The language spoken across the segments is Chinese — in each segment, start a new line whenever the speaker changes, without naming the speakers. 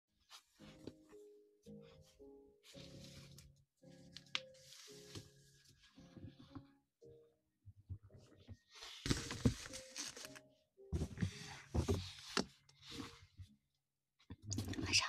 晚上好。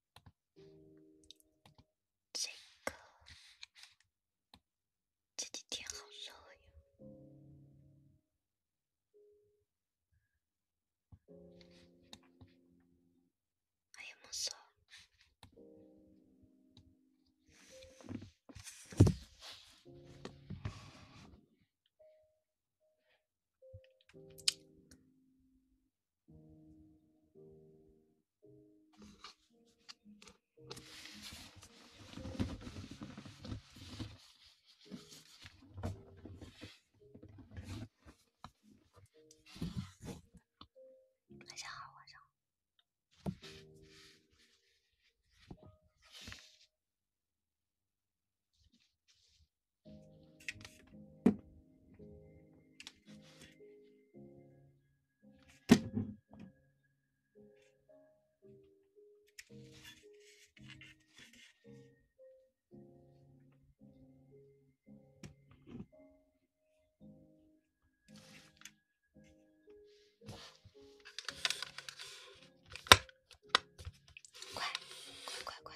这个这几天好热呀。哎呀，妈烧！晚上好，晚上好。快，快，快，快！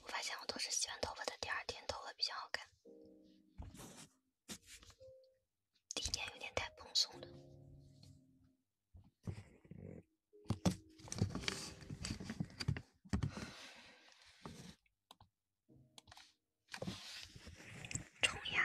我发现我都是洗完头发的第二天，头发比较好看。第一天有点太蓬松了。冲呀！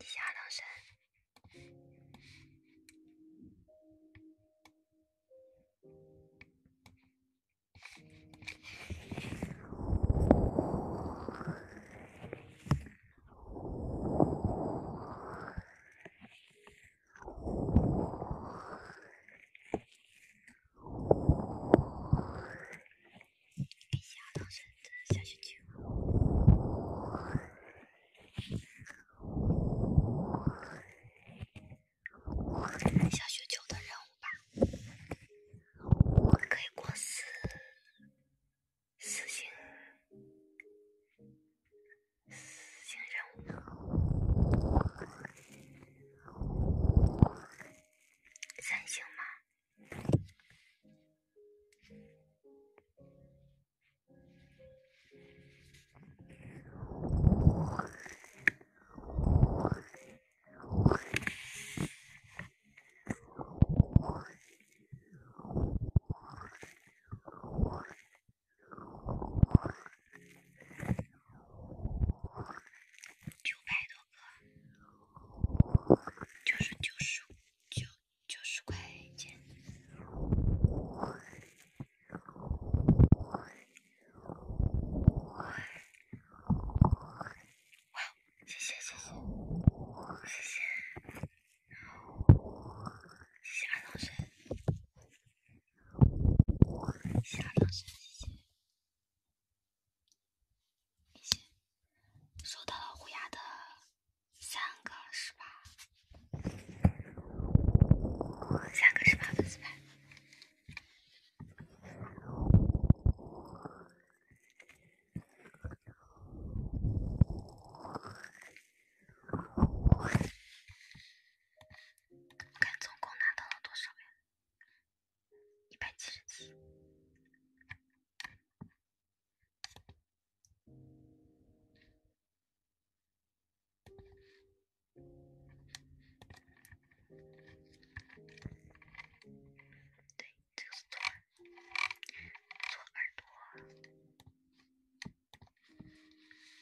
你瞎弄啥？下到深圳下雪球，下雪球的任务吧，我可以过私私信。三星任务，三星吗？九百多个，就是九十九九十块钱。哇，谢谢谢谢谢谢，谢二到谁？收到虎牙的三个十八，三个十八粉丝牌。看总共拿到了多少呀？一百七十七。对，就是做做耳朵。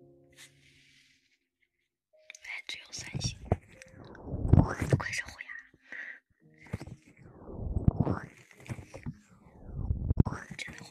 哎，只有三星，不愧是虎牙，真的会。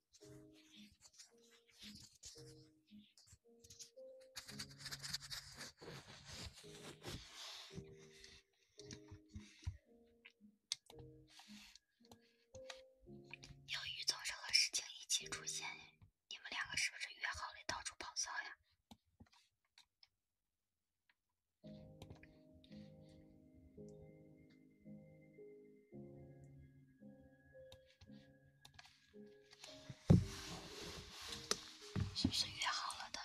由于早上和事情一起出现，你们两个是不是约好了到处跑骚呀？是不是约好了的？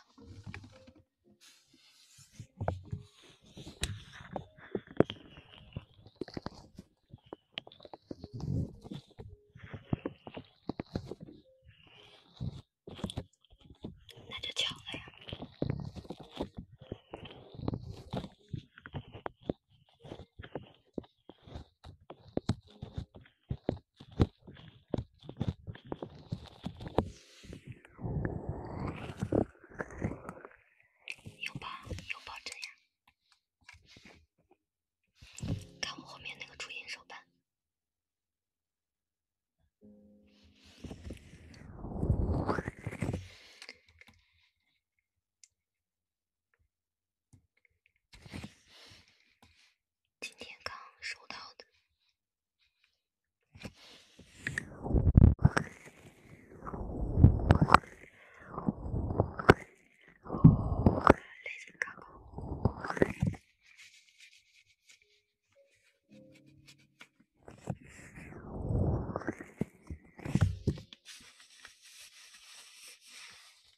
那就巧了呀。有保，有保证呀！看我后面那个竹影手办。今天刚收到的。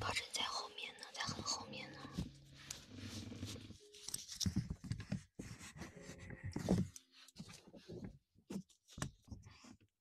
炮阵在后面呢，在很后面呢。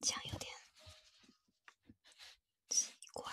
这样有点奇怪。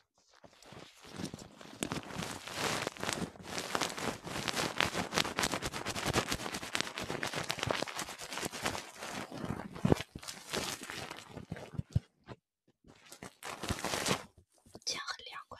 这样很凉快。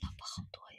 老婆好多呀。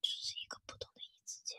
只是一个普通的一字肩。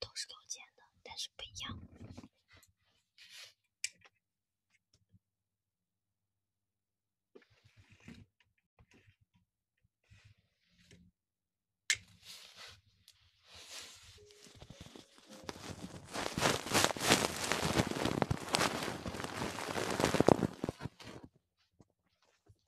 都是勾肩的，但是不一样。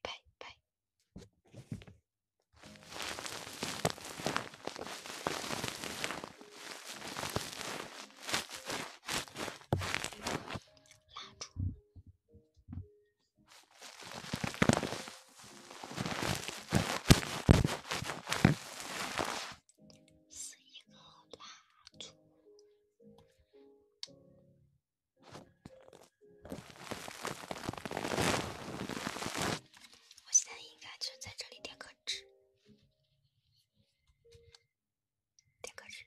拜拜。蜡烛，是一个蜡烛。我现在应该就在这里点个纸，点个纸。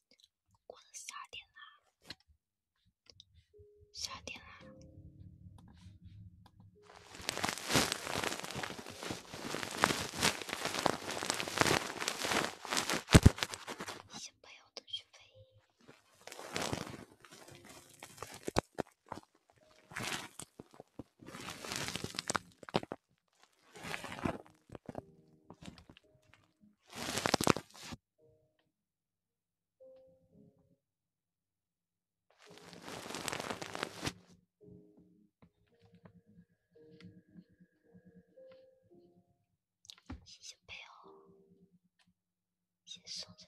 过了十二点啦，十二点啦。谢谢配谢谢送着。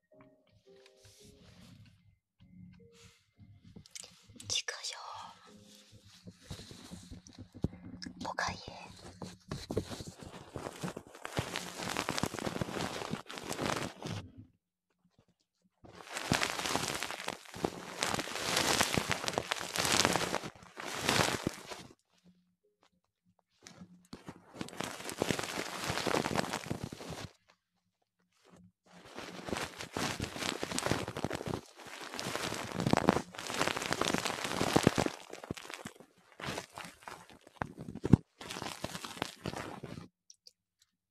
聞くよおかえ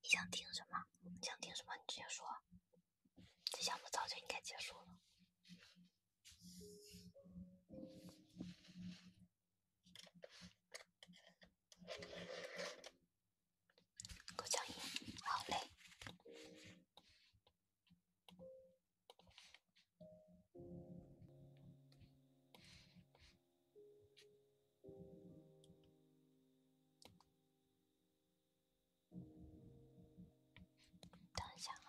你想听什么？你想听什么？你直接说。这项目早就应该结束了。顾小英，好嘞，等一下啊。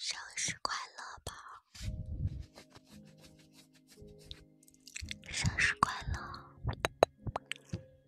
生日快乐宝！生日快乐！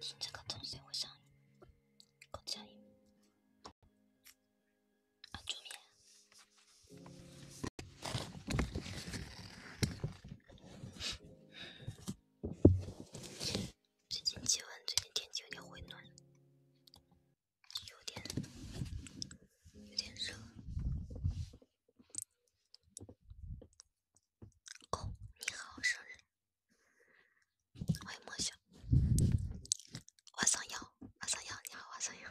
听这个东西会上瘾，够上瘾。啊，助眠。最近气温，最近天气有点回暖，有点有点热。哦，你好，生日，欢迎莫小，晚上要，晚上要，你好，晚上要。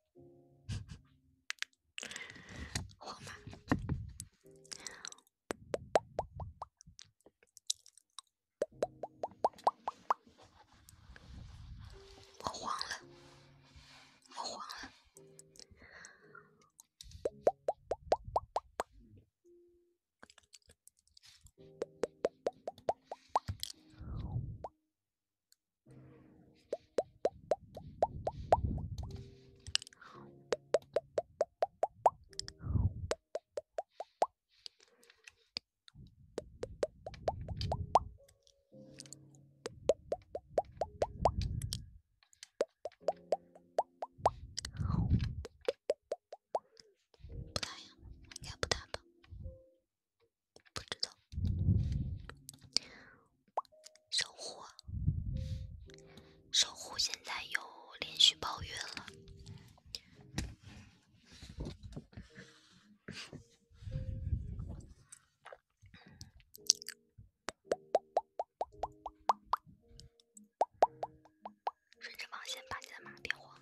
我慌了，我慌了。不打呀，应该不打吧？不知道。守护，守护，现在又连续抱怨了。顺着网线把你的马变黄。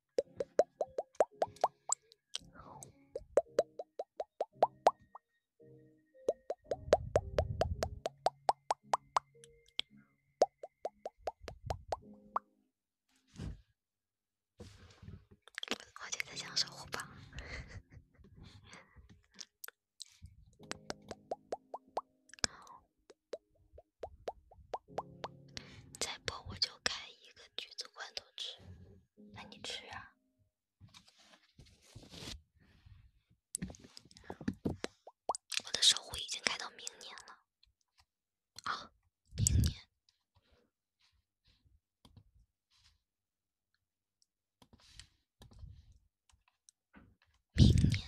我正在讲守护吧，再播我就开一个橘子罐头吃。那你吃啊！我的守护已经开到明年了，啊，明年，明年，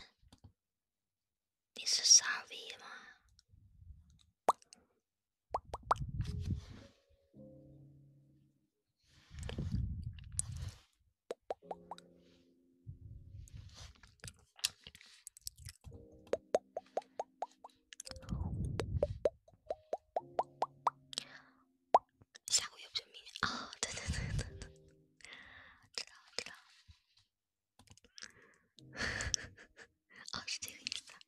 你是傻逼吗？下个月不就明天啊！对对对对对，知道知道。啊，是这个意思。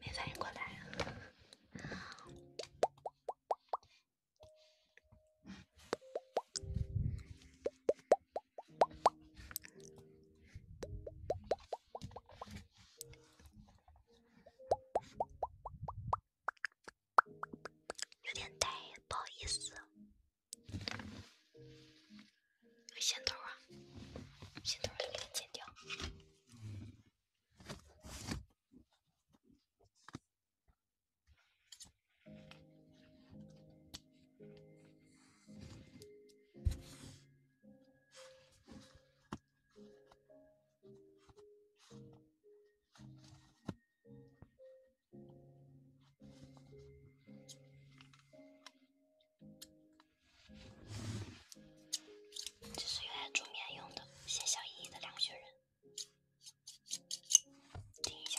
没反应过来。有点呆，不好意思。有线头啊，线头你给剪掉。这是用来助眠用的，些小一亿的两个雪人。停一下。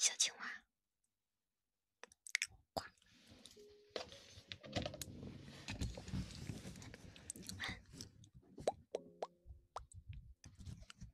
小青蛙，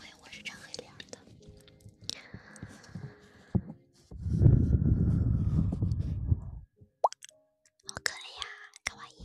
喂，我是张黑脸的。好可爱呀，卡哇伊。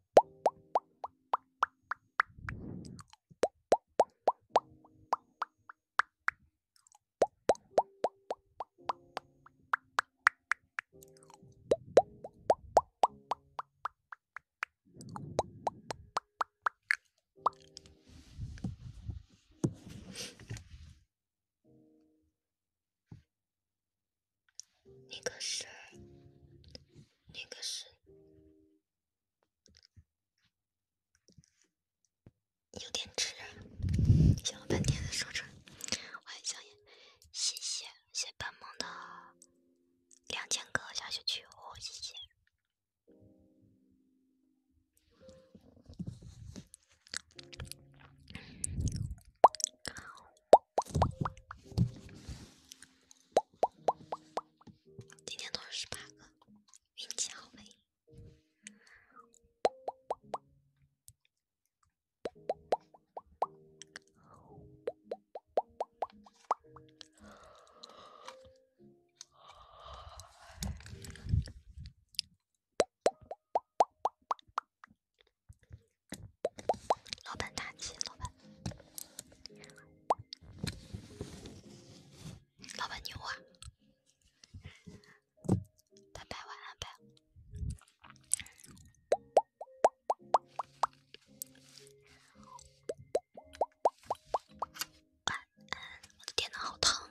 那个是。那个是有点迟，想了半天才说出来。欢迎想烟，谢谢谢半梦的两千个小雪球，谢谢。今天都是十八个，运气好呗。老板大气，老板。老板牛啊！拜拜，晚安拜。我的电脑好烫。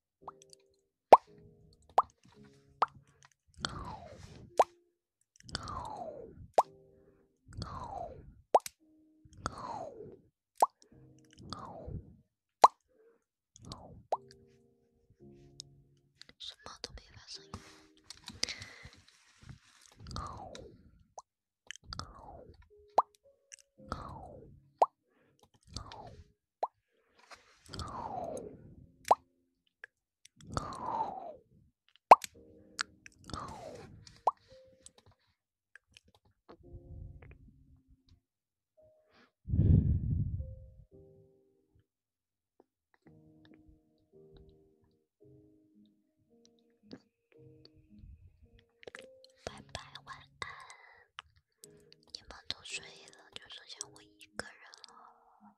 什么都没发生。拜拜，晚安。你们都睡了，就剩下我一个人了。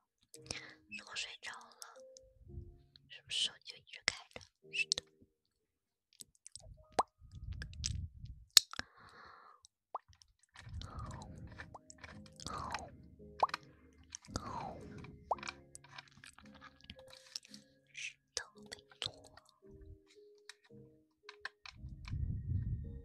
如果睡着了，是不是手机就一直开着？是的。Thank you.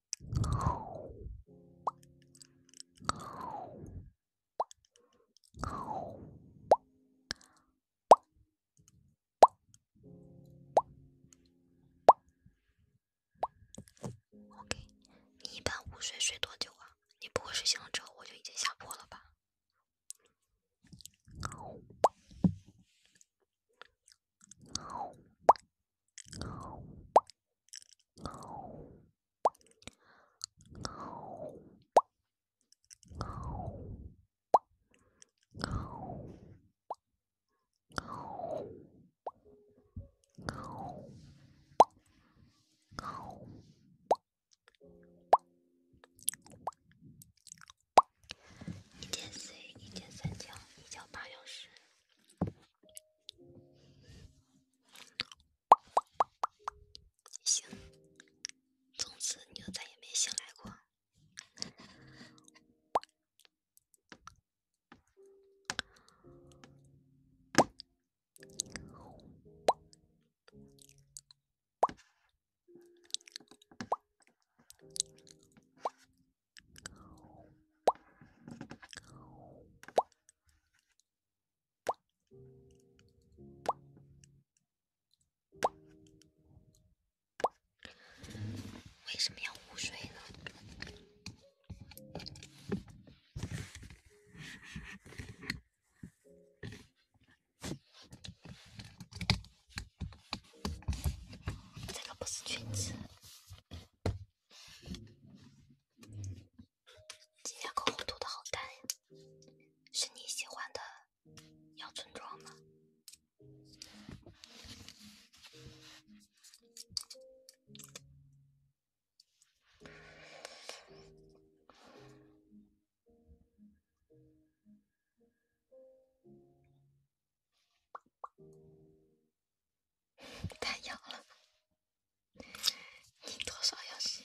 O.K. 你一般午睡睡多久啊？你不会睡醒了之后我就已经下播了吧？一点四，一点三九，一九八小时。行，从此你就再也没醒来过。为什么要午睡呢？这个不是裙子。今天口红涂的好淡呀，是你喜欢的咬村妆吗？太痒了，你多少要洗？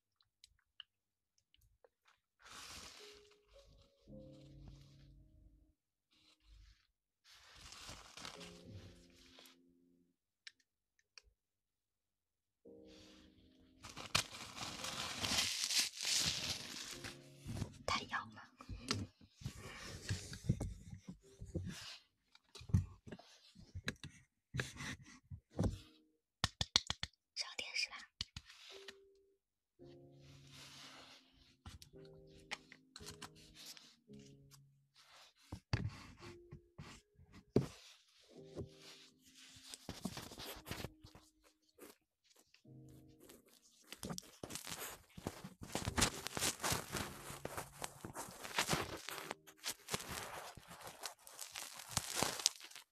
太痒了。上电视啦！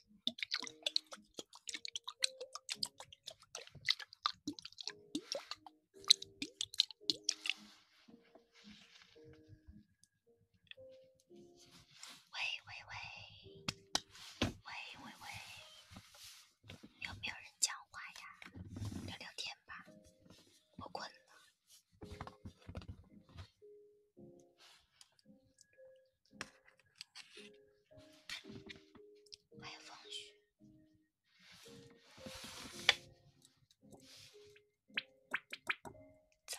喂喂喂，喂喂喂，有没有人讲话呀？聊聊天吧，我困了。还要风雪。早。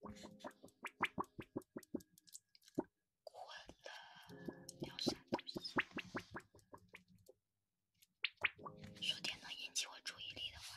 困了，聊啥东西？说点能引起我注意力的话。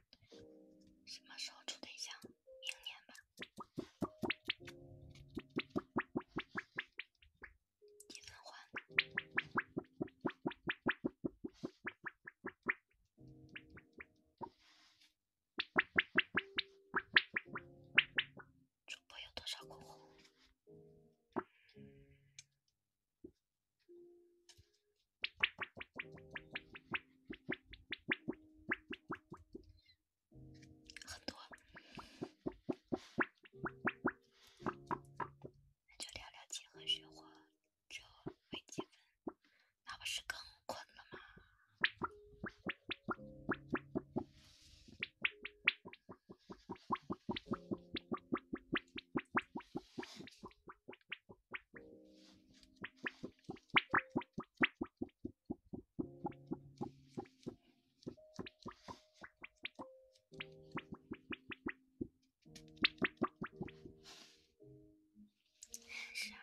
什么时候处对象？明年吧。一分欢。主播有多少口红？很多，那就聊聊几何生活就微积分，那不是更困了吗？是啊。